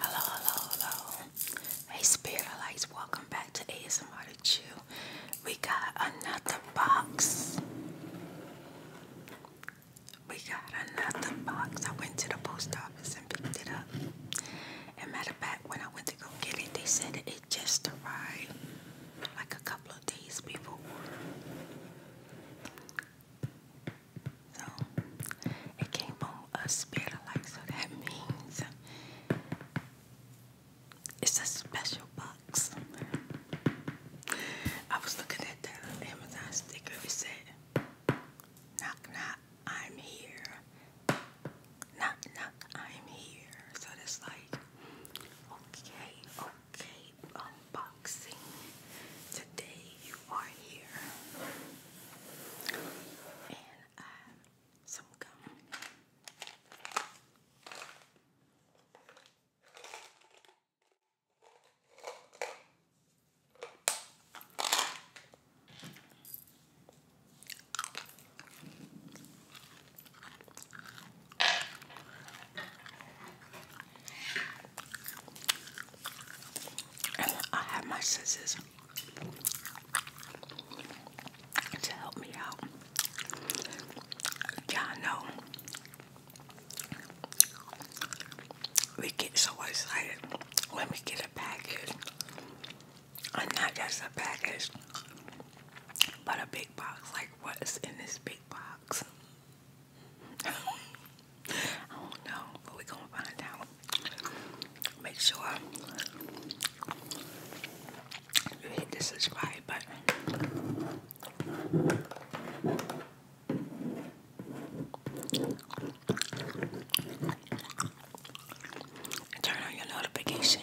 Hello, hello, hello. Hey, Spirit Lights, welcome back to ASMR to Chew. We got another box. We got another box. I went to the post office and picked it up. And matter of fact, when I went to go get it, they said it just arrived like a couple of days before. So it came from a spirit like so that means it's a special box. I was looking at the Amazon sticker, it said knock knock, I'm here. Knock knock, I'm here. So that's like okay, okay, unboxing. Today you are here. And I have some gum. I have my scissors to help me out. Y'all know we get so excited when we get a package. And not just a package, but a big box. Like, what is in this big box? I don't know, but we gonna find out. Make sure you hit the subscribe button. turn on your notification.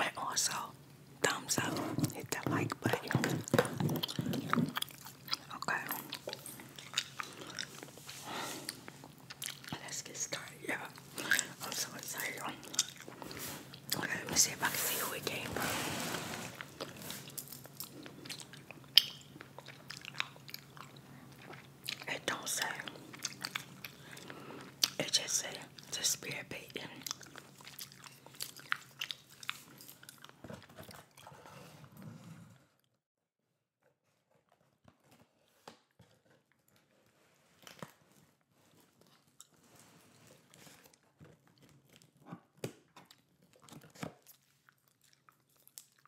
And also, thumbs up, hit that like button. Okay. Let's get started, yeah. I'm so excited. Okay, let me see if I can see who we came from. It don't say. It just say the spirit beating.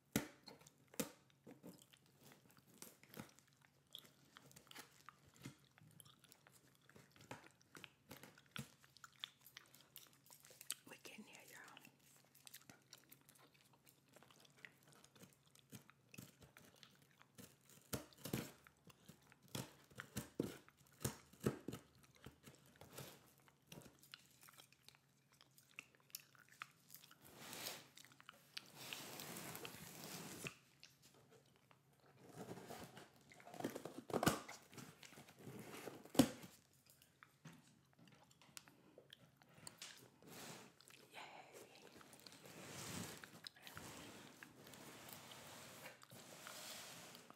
We're getting here, y'all. Yay.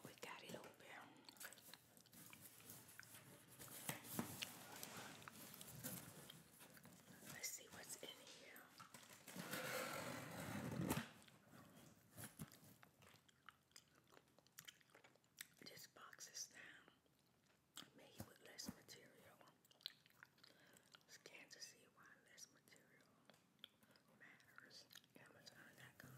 We got it open. Let's see what's in here. This box is made with less material. Scan to see why less material matters. Amazon.com.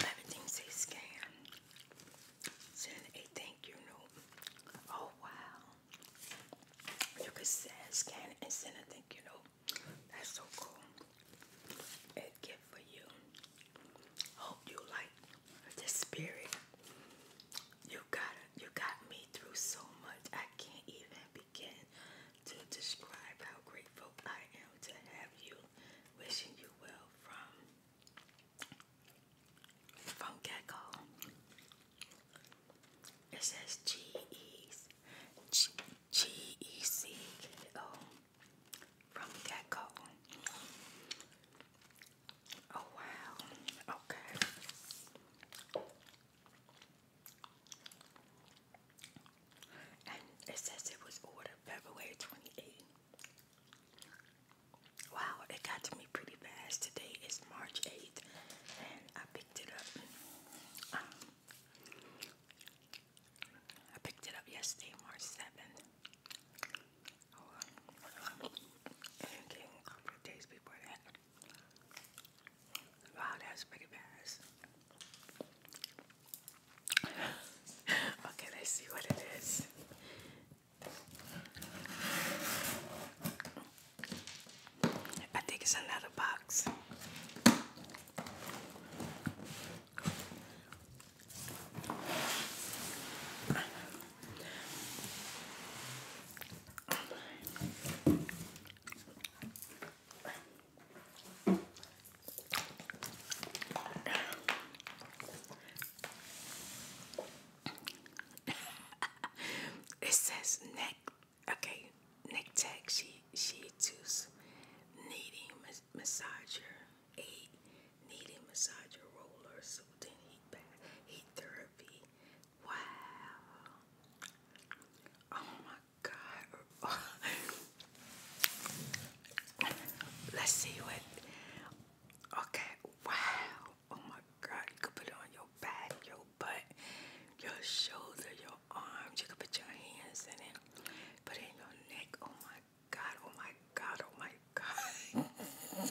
Everything says scan. Send a thank you note. Oh wow. You can send, scan and send a thank you note. That's so cool. A gift for you. Hope you like the spirit. You got You got me through so much. I can't even be to describe how grateful I am to have you. Wishing you well from from Gecko. It says G E G, G E C O from Gecko. Oh wow. Okay it says it was ordered February 28th. Wow, it got to me pretty fast. Today is March 8th, and I picked it up. Um, I picked it up yesterday, March 7th. and a couple days before that. Wow, that's pretty fast okay, let's see what it is. I think it's another box. it says neck. Okay, neck tech. She she tools kneading mas massager eight kneading massager roller soothing heat bath heat therapy. Wow. Oh my Let's see what. Okay, wow. Oh my god, you could put it on your back, your butt, your shoulder, your arms. You could put your hands in it. Put it in your neck. Oh my god, oh my god, oh my god.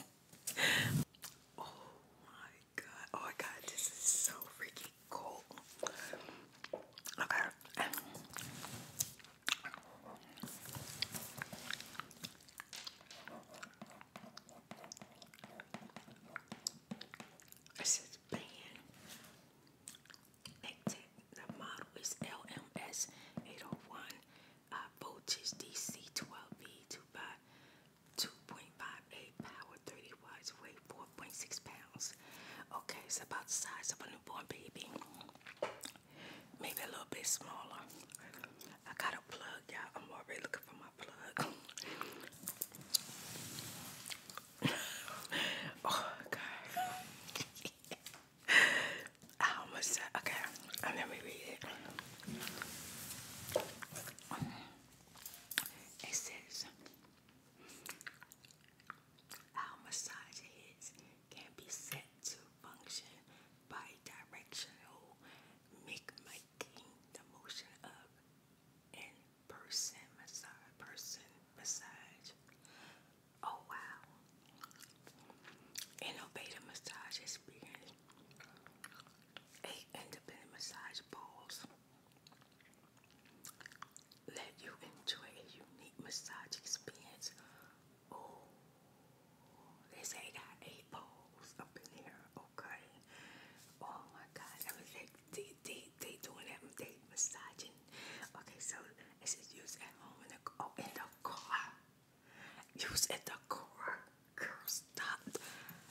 oh my god. Oh my god, this is so freaking cold. Okay. This is band. The model is LMS 801 uh, voltage DC 12V 2 by 2.58 power 30 watts waveform. 4.6 Okay, it's about the size of a newborn baby. Maybe a little bit smaller. I got a plug, y'all. I'm already looking for my plug. oh, God. How much is that? Okay, uh, let read it. It says, our massage heads can be set to function by directional mimicking the motion of in person massage person massage. Oh wow. Innovative massage experience. Eight independent massage balls let you enjoy a unique massage experience. Oh, they say I got eight poles up in here, okay? Oh my God, everything, they, they, they doing that, they massaging. Okay, so it says use at home in the, oh, in the car. Use at the car. Girl, stop.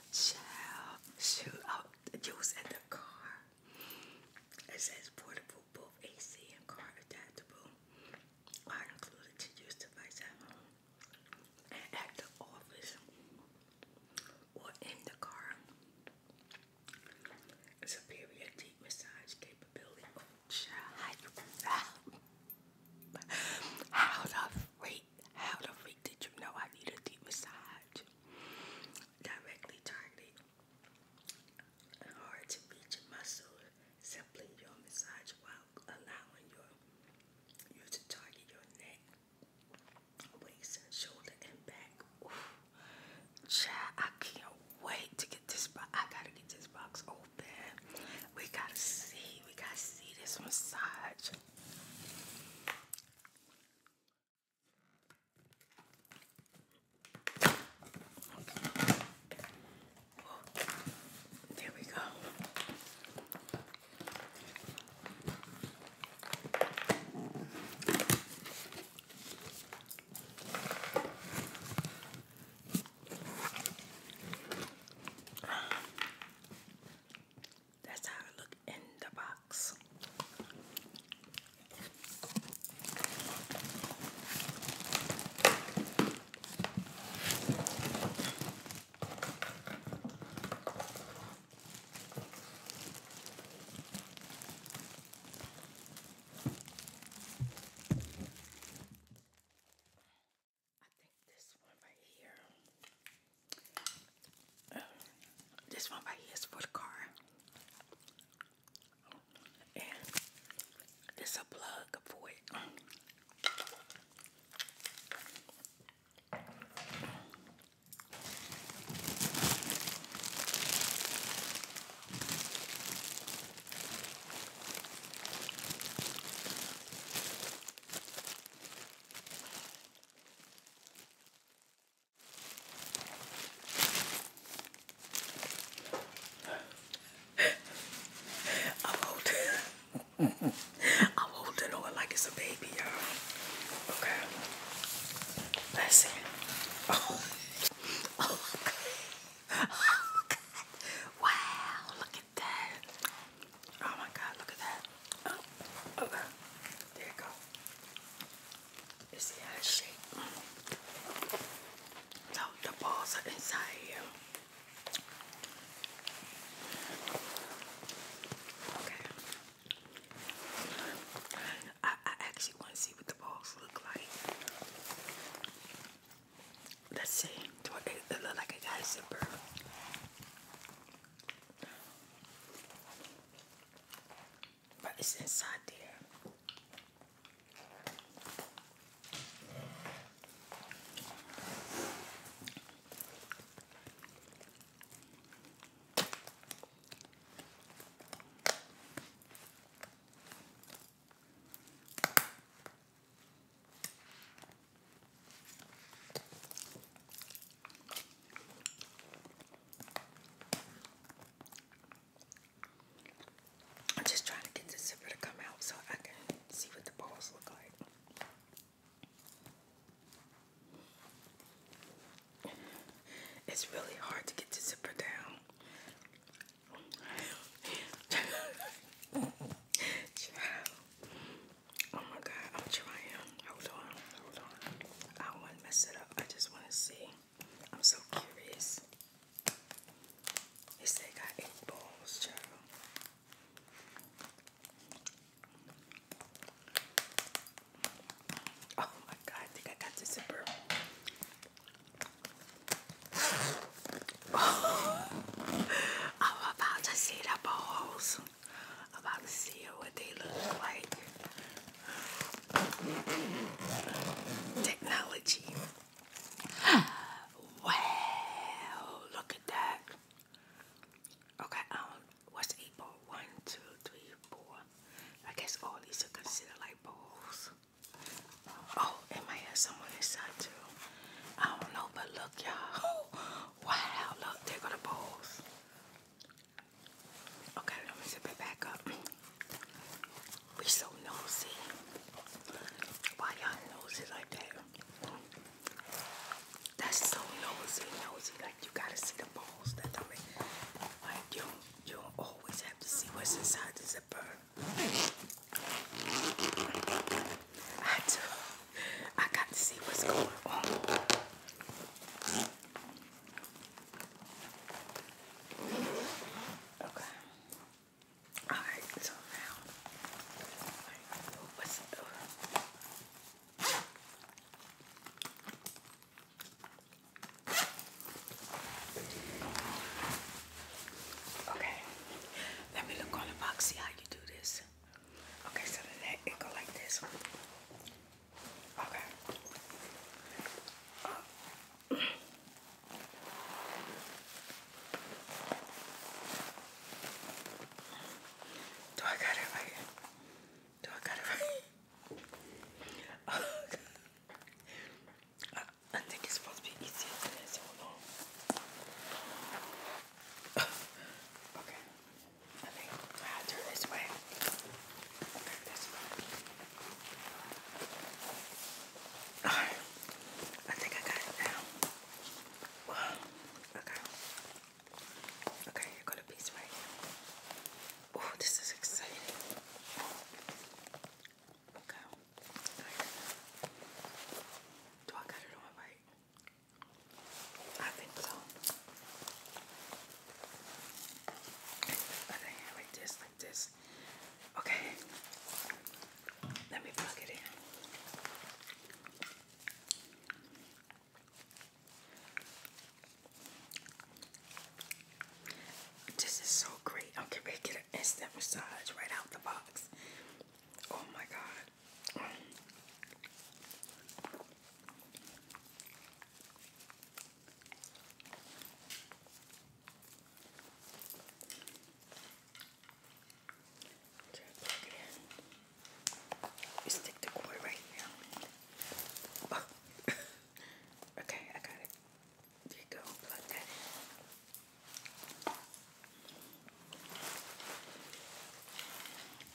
Child, shoot oh, Use at the car. It says portable, both AC and car adaptable, are included to use device at home and at the office or in the car. Superior deep massage capability. Oh, how the freak, how the freak did you know I need a deep massage? Directly targeted hard to reach muscle. Simply your massage while allowing your you to target your neck, waist, shoulder, and back. Ooh. I can't wait to get this box. I gotta get this box open. We gotta see. We gotta see this massage there we go. That's how I look in the box box. I think this one right here this one right here is for the car. And this a plug for it. I'm holding, I'm holding on like it's a baby, y'all. Okay, let Oh, oh, God. oh God. wow, look at that. Oh my God, look at that. Oh, okay, there you go. It's the other shape. So the balls are inside here. Okay. I, actually want to see what the balls look like. Let's see. Do it, look like it got a but it's inside there. I'm just trying to get the zipper to come out so I can see what the balls look like. It's really hard to get the zipper down. Oh my god, I'm trying. Hold on, hold on. I want to mess it up. I just want to see. I'm so curious. They say I got eight balls, child. Oh my god, I think I got the zipper. I'm about to see the balls. I'm about to see what they look like. Technology. Wow, look at that. Okay, um, what's eight ball? One, two, three, four. I guess all these are considered like balls. Oh, it might have someone inside too. I don't know, but look, y'all. Wow, look, there go the balls. Okay, let me zip it back up. We so nosy. Why y'all nosy like that? That's so nosy, nosy. Like you gotta see the balls. That I like you, you always have to see what's inside the zipper. I do. I got to see what's going on. Okay. All right. So now, Okay. Let me look on the box. See how you do this. Okay. So the neck go like this. Okay. Do I got it right? Do I got it right? I, think it's supposed to be easier than this. Hold on. okay. I think I'll turn this way. Turn this way. I think I got it now. Okay. Okay, you got a piece right Oh, this is exciting. Okay. Do I got it on right? I think so. Okay. Let me plug it in. This is so great. I'm going to get an instant massage right out the box. Oh my god. Plug You stick the cord right now. Oh. okay, I got it. There you go. Plug that in. Okay.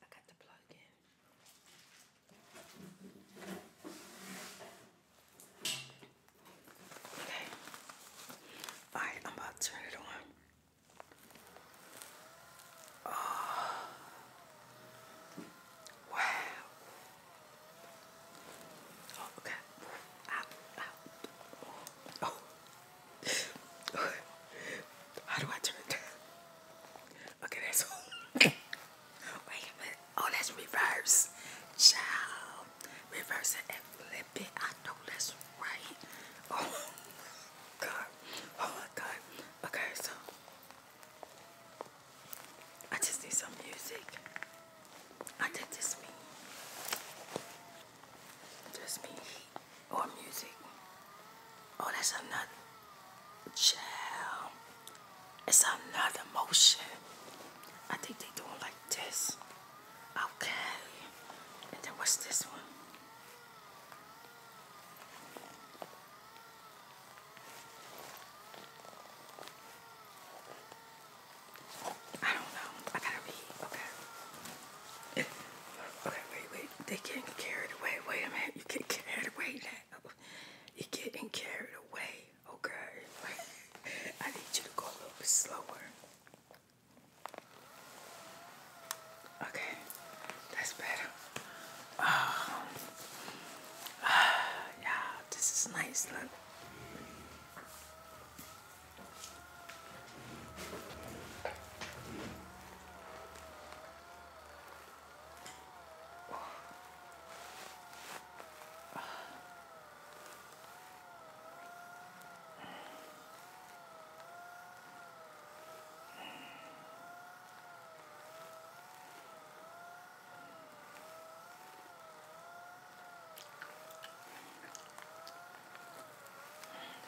I got the plug in. Okay. Alright, I'm about to turn it on. Oh. Wow. Oh, okay. Ow, Oh. How do I turn it Okay, that's all. Wait a minute. Oh, that's reverse. Child. Reverse it and flip it. I know that's right. Oh, God. Oh, my God. Okay, so. I just need some music. I think this me. Just me. Or music. Oh, that's another. Child. It's another motion. I think they doing like this. Okay. And then what's this one? I don't know. I gotta read. Okay. wait, wait. They getting carried away. Wait a minute. You get carried away now. you getting carried away okay? I need you to go a little bit slower. Okay, that's better. Um, yeah, this is nice.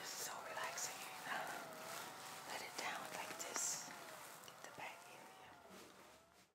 This is so relaxing. Let it down like this. Get the back area.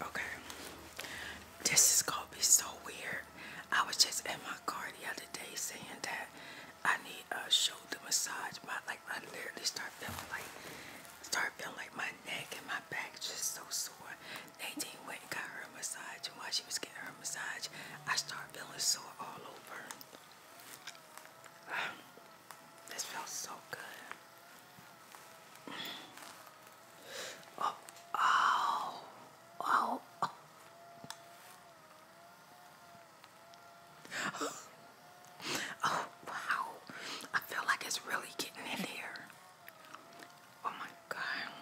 Okay, this is gonna be so weird. I was just in my car the other day saying that I need a shoulder massage. My like I literally start feeling like start feeling like my neck and my back just so sore. Nadine went and got her a massage, and while she was getting her massage, I start feeling sore all over. This feels so good. Oh, oh, oh. oh. wow. I feel like it's really getting in here. Oh my god.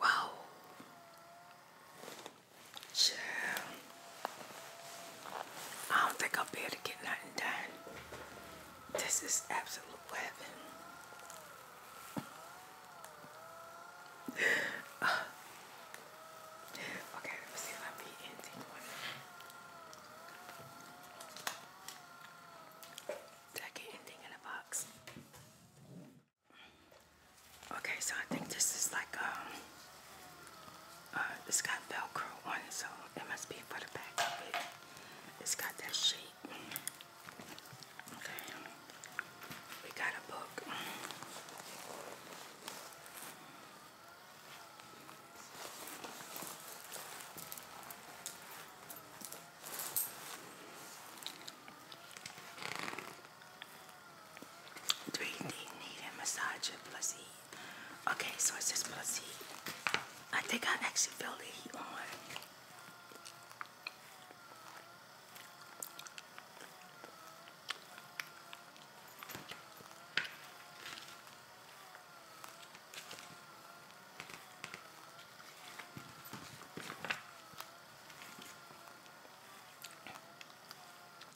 Wow. Sure. I don't think I'll be able to get nothing done. This is absolute heaven. Okay, let me see if I be ending one. Did I get anything in a box? Okay, so I think this is like um uh, it's got Velcro on it, so it must be for the back of it. It's got that shape. Okay. We got a book. Three D needing massager plus heat. Okay, so it just plus heat. I think I actually feel the heat on.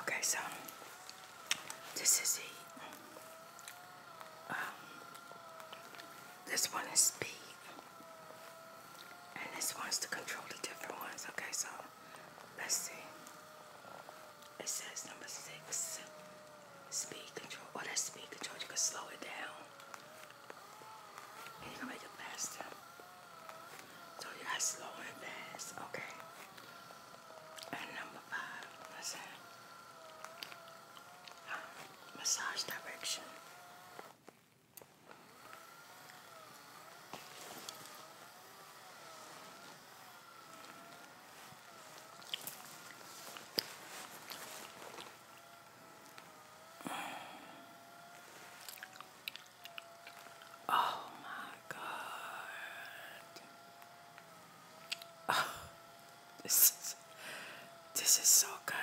Okay, so this is the um, this one is speed, and this one's to control the different ones. Okay, so let's see. It says number six, speed control. Oh, that's speed control. You can slow it down, and you can make it faster. So you are slow and fast. Okay. And number five um, massage direction. Oh my god. this is this is so good.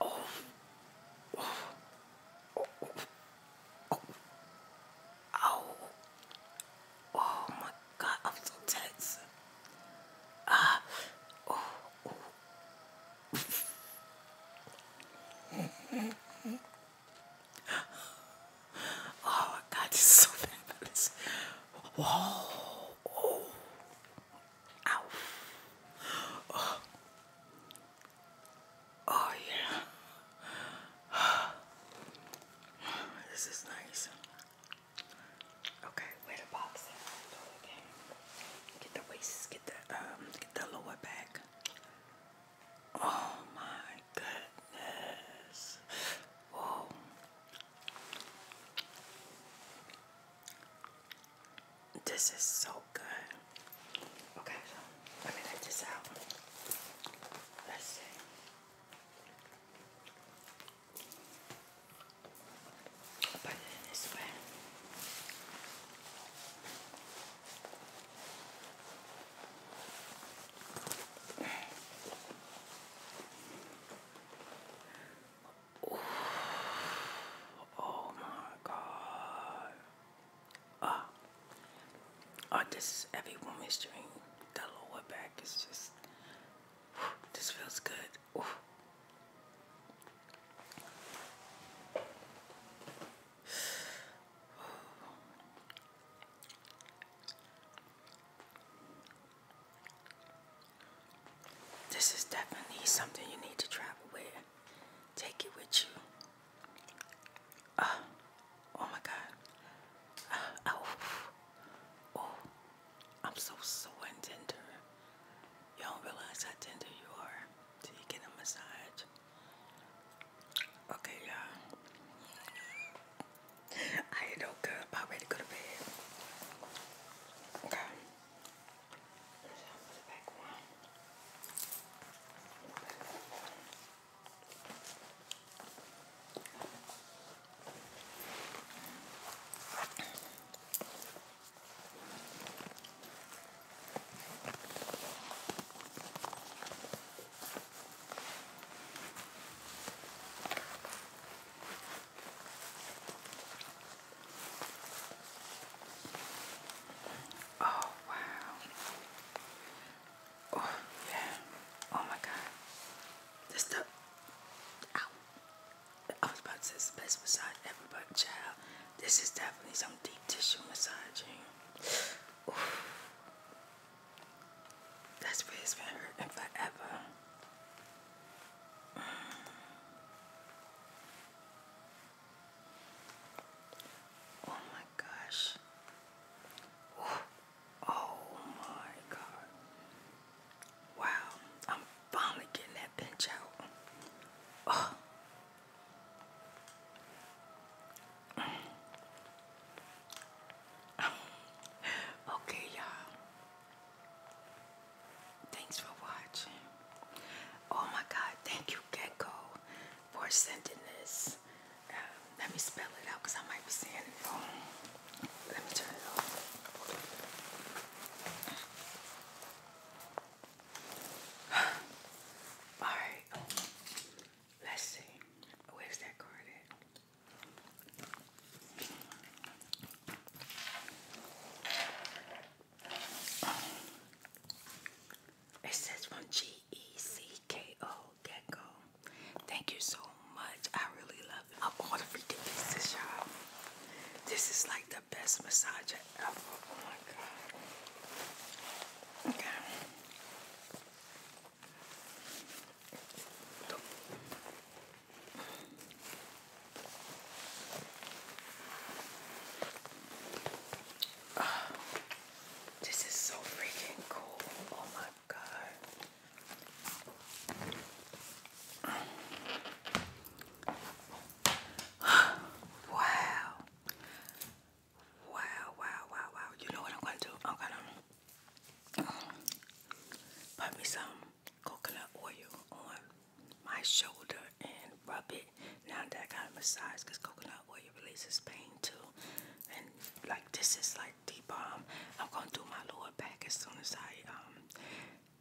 Oh. Oh. Oh. Oh. Oh. my god, I'm so tense. Ah. Oh. Oh oh, my God, this is so fabulous. Whoa. Oh. oh, yeah. This is nice. Okay where the box at? Okay. Get the waist, get the um, get the lower back. Oh my goodness. Whoa. This is so good. Okay, let me let this out. Let's see. I'll put Oh my god. Ah. Oh, this is every woman's dream. The lower back is just, this feels good. This is definitely something you need to travel with. Take it with you. Oh, oh my God. Oh, oh, I'm so sore tender. You don't realize how tender you are till you get a massage. Okay, you I ain't no good. I'm ready to go to bed. Okay. The back one. Oh, wow. Oh, yeah. Oh, my God. This stuff. Ow. I was about to say the best massage ever, but child, this is definitely some deep tissue massaging. That's where it's been hurting forever. Mm. Oh my gosh. Oh my god. Wow, I'm finally getting that bench out. okay, y'all. Thanks for watching. Oh my God, thank you, Gecko, for sending this. Um, let me spell it out because I might be saying it wrong. Let me turn it All right, let's see. Where's that card It says from G E C K O Gecko. Thank you so much. I really love it. I ordered freaking pieces, y'all. This is like the best massager ever. Oh my god. Okay. Oh, this is so freaking cool. Oh my god wow. Wow, wow, wow, wow. You know what I'm gonna do? I'm gonna um, put me some coconut oil on my shoulder and rub it. Now that I got a because coconut oil releases pain too. And like this is like the bomb. Um, I'm gonna do my lower back as soon as I um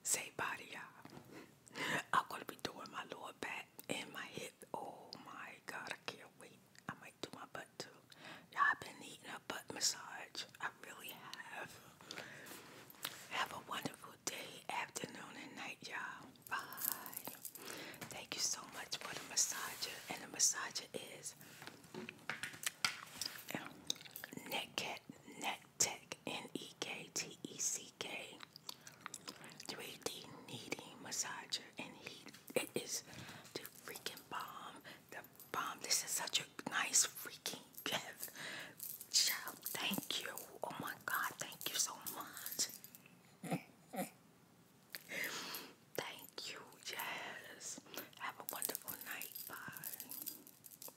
Say bye, y'all. I'm gonna be doing my lower back and my hip. Oh my god, I can't wait. I might do my butt too. Y'all I've been eating a butt massage. I really have. Have a wonderful day, afternoon, and night, y'all. Bye. Thank you so much for the massager. And the massage is um, Net Cat, Tech, N E K T E C K, 3D kneading massager, and it is the freaking bomb. The bomb. This is such a nice freaking gift. thank you. Oh my God, thank you so much. thank you. Yes. Have a wonderful night. Bye.